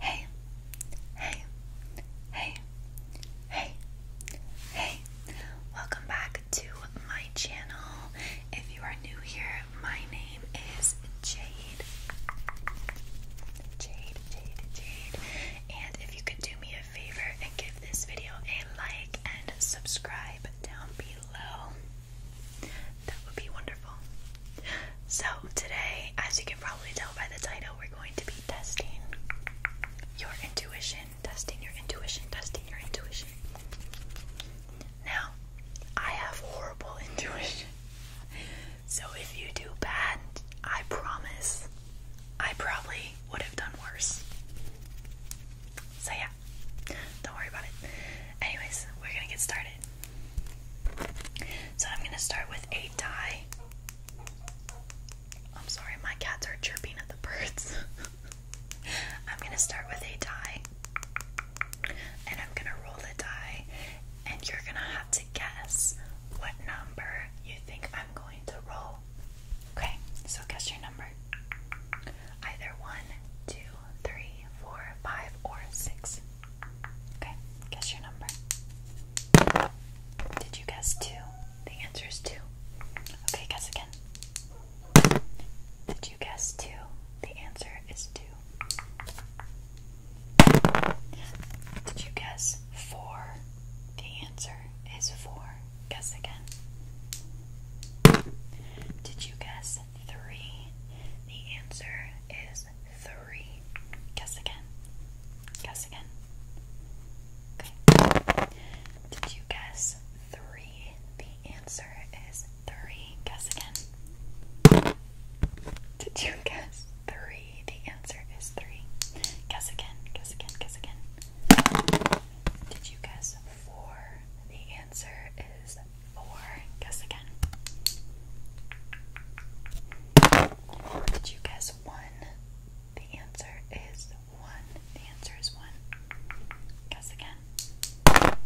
Hey, hey, hey, hey, hey, welcome back to my channel. If you are new here, my name is Jade. Jade, Jade, Jade. And if you could do me a favor and give this video a like and subscribe down below, that would be wonderful. So, today, as you can probably tell by the title, we're going to be testing your intuition, testing your intuition, testing your intuition. Now, I have horrible intuition. So, if you do bad, I promise I probably would have done worse. So, yeah, don't worry about it. Anyways, we're gonna get started. So I'm going to start with a die. I'm sorry, my cats are chirping at the birds. I'm going to start with a die, And I'm going to roll the die. And you're going to have to guess what number you think I'm going to roll. Okay, so guess your number. Either one, two, three, four, five, or six. Okay, guess your number. Did you guess two? The answer is two. Okay, guess again. Did you guess two? The answer is two. Did you guess four? The answer is four. Guess again. Did you guess three? The answer is three. Guess again. Guess again. Okay. Did you guess three? The answer is three. Guess again. Did you guess three? The answer is three. Guess again. Guess again. Guess again. Did you guess four? answer is four. Guess again. Did you guess one? The answer is one. The answer is one. Guess again.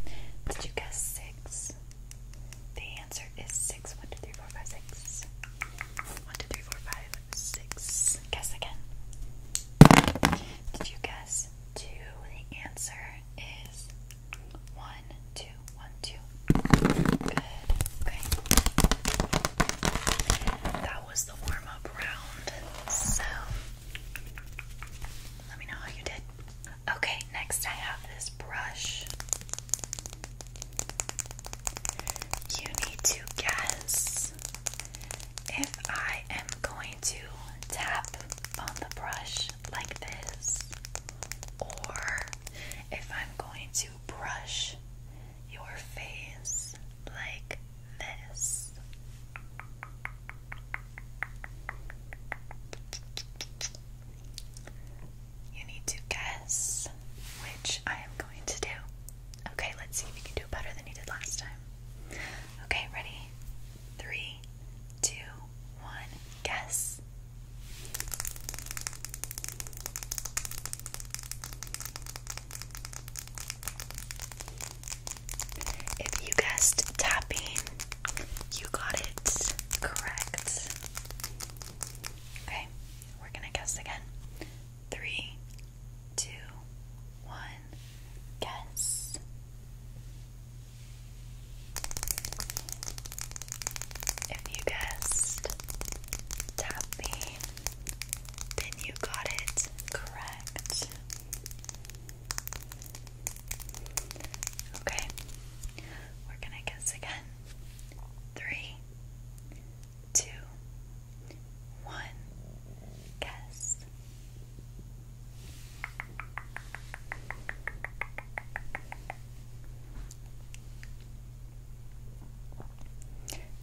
Did you guess six? The answer is six. One, two, three, four, five, six. One, two, three, four, five, six. Guess again. Did you guess two? The answer is one, two, one, two. Good. Okay. That was the warm up round. So, let me know how you did. Okay, next I have this brush. You need to guess if I am going to tap on the brush like this, or if I'm going to brush your face like this. You need to guess which I am going to do. Okay, let's see if you can do better than you did last time. Okay, ready? Three, two, one guess. If you guessed tapping, you got it correct. Okay, we're gonna guess again. Three, two, one, guess. If you guessed tapping, then you got it correct. Okay, we're gonna guess again. Three, two, one, guess.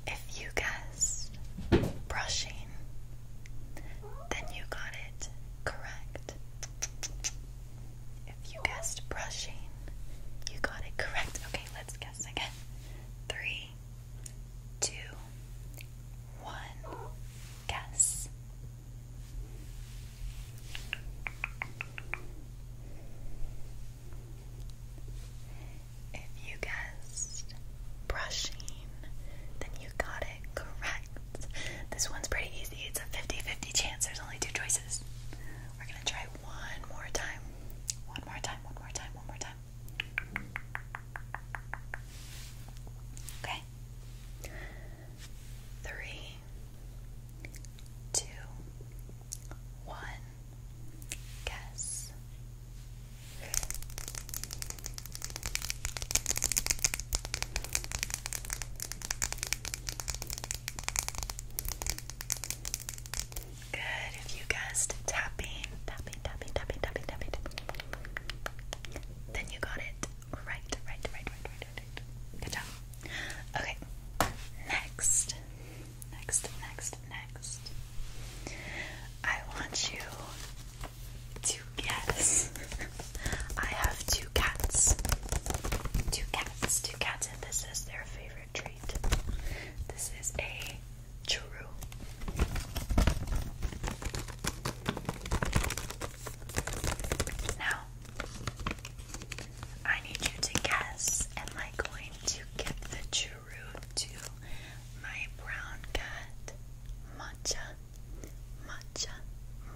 If you guessed brushing, then you got it correct. If you guessed brushing, you got it correct. Okay, let's guess again. Three, two, one, guess. If you guessed brushing, then you got it correct. This one's pretty easy. It's a 50 50 chance. There's only two choices. We're going to try one more time. One more time, one more time, one more time. Okay. Okay. Three, two, one. Guess. Good. If you guessed tapping, tapping, tapping, tapping, tapping, tapping, tapping, then you got it. Right, right, right, right, right, right. Good job. Okay. Next. Next, next, next. I want you to guess. I have two cats. Two cats, two cats, and this is their favorite treat. This is a churro. Now, I need you to guess am I going to get the true root to my brown cat matcha, matcha,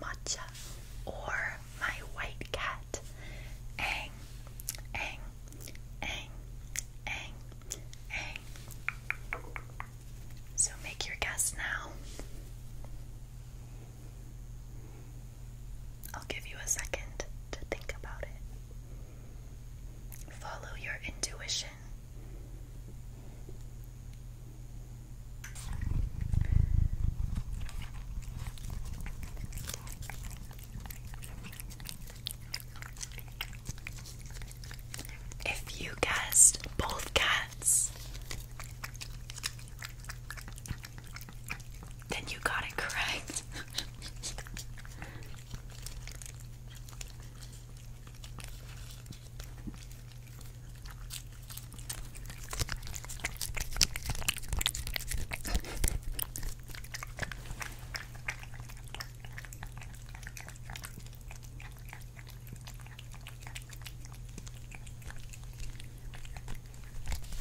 matcha, or my white cat? Ang, ang, ang, ang, ang. So make your guess now. I'll give you a second to think about it. Follow your intuition. If you guessed both cats, then you got it correct.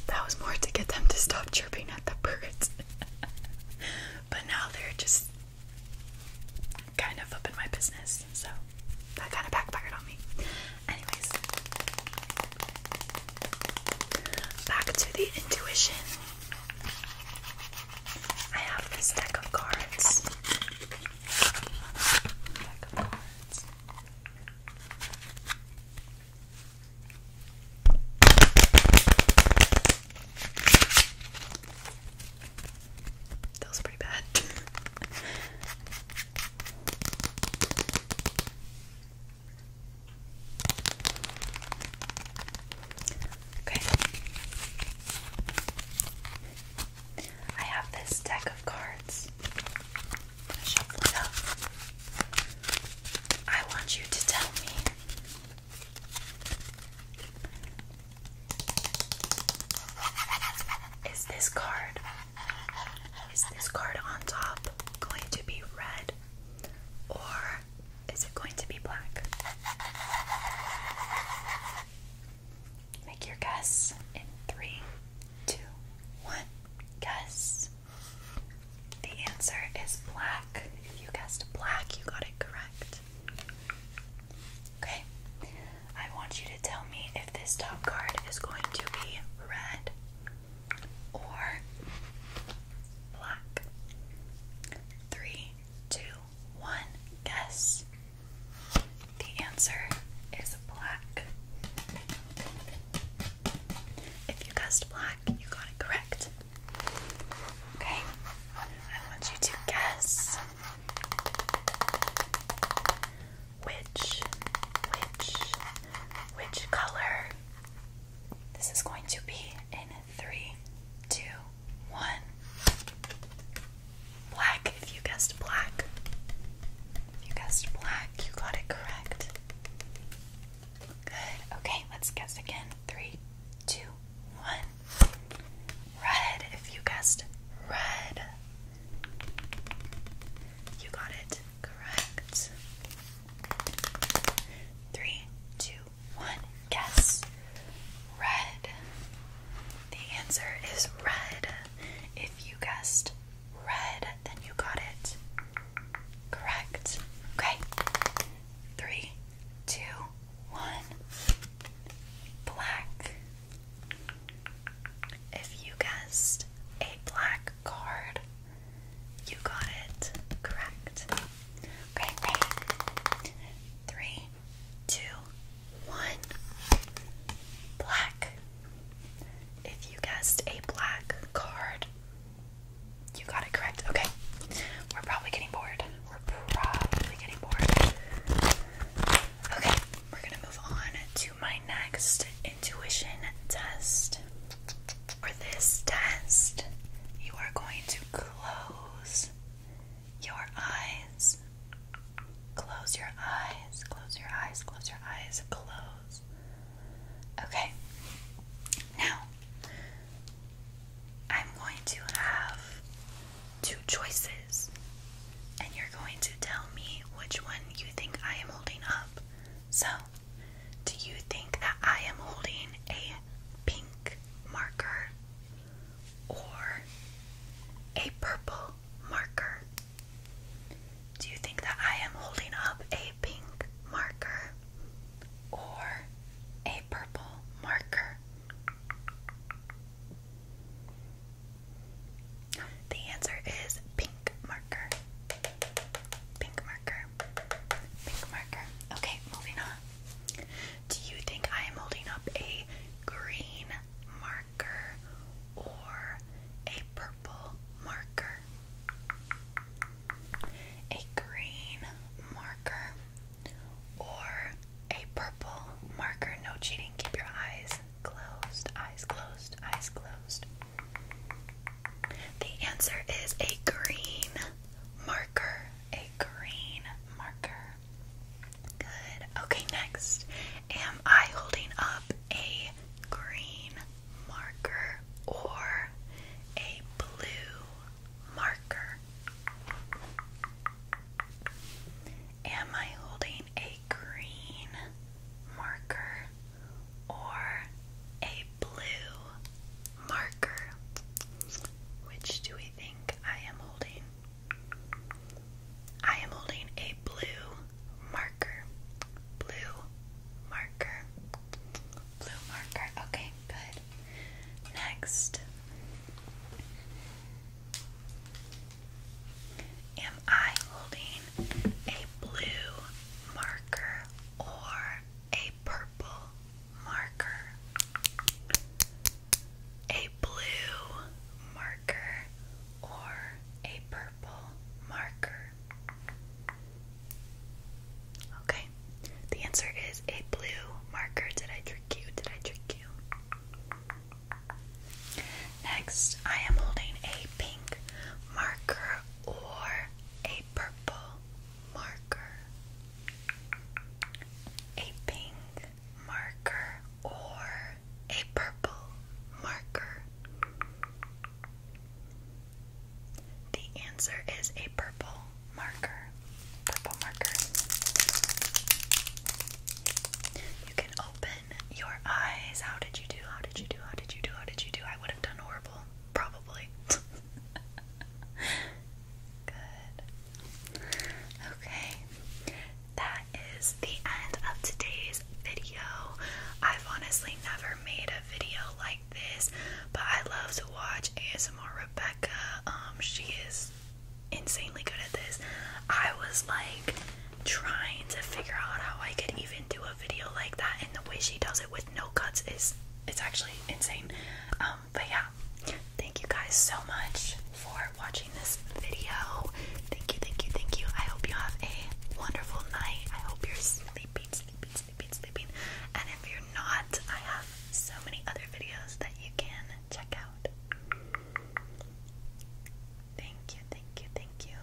That was more to get them to stop chirping at the birds. but now they're just kind of up in my business, so that kind of backfired on me. Anyways, back to the intuition. I have this deck of cards. of cards. That was pretty bad. Okay. I have this deck of cards. shuffle it up. I want you to tell me is this card is this card on top going to be red or is it going to be black? Make your guess in three, two, one. Guess. The answer is black. If you guessed black, you got it correct. Okay. I want you to tell me if this top card is going to be red or black. Three, two, one. Guess. The answer is black. If you guessed black, you got it correct. Okay? I want you to guess which, which, which color. This is going to be in three, two, one. Black, if you guessed black. you guessed black, you got it correct. Good. Okay, let's guess again. Three, two, one. Red, if you guessed red. You got it correct. Three, two, one guess. Red. The answer is red. If you guessed red, then you got it. Correct. Okay. Three, two, one. Black. If you guessed a black card, you got it. Correct. Okay, Black. If you guessed a black card, you got it correct. Okay. We're probably getting bored. We're probably getting bored. Okay, we're gonna move on to my next intuition test. For this test, you are going to close your eyes. Close your eyes, close your eyes, close your eyes, close. Okay, now I'm going to have two choices, and you're going to tell me which one you think I am holding up. So do you think that I am holding a pink marker or a purple marker? Do you think that I am holding up a pink marker or a purple marker? The answer is pink marker. Pink marker. Pink marker. Okay, moving on. Do you think I am holding up a green marker or a purple marker? A green marker or a purple marker. No cheating. Keep your eyes closed. Eyes closed. Eyes closed. The answer is a green marker, a green marker. Good. Okay, next. Am I holding up a green marker or a blue marker? Am I holding a green marker or a blue marker. Which do we think I am holding? I am holding a blue marker. Blue marker. Blue marker. Okay, good. Next. Am I holding a blue marker or a purple marker, a blue marker, or a purple marker? Okay, the answer is a blue marker. Did I trick you? Did I trick you? Next, I am holding a pink marker or a a purple marker, a pink marker, or a purple marker? The answer is a purple marker. Purple marker. You can open your eyes. How did you do? How did you do? How did you do? How did you do? I would have done horrible. Probably. Good. Okay. That is the end of today's video. I've honestly never made a video like this, but I love to watch ASMR Rebecca. Um, she is insanely good at this. I was like trying to figure out how I could even dive a video like that and the way she does it with no cuts is it's actually insane. Um, but yeah, thank you guys so much for watching this video. Thank you, thank you, thank you. I hope you have a wonderful night. I hope you're sleeping, sleeping, sleeping, sleeping. And if you're not, I have so many other videos that you can check out. Thank you, thank you, thank you.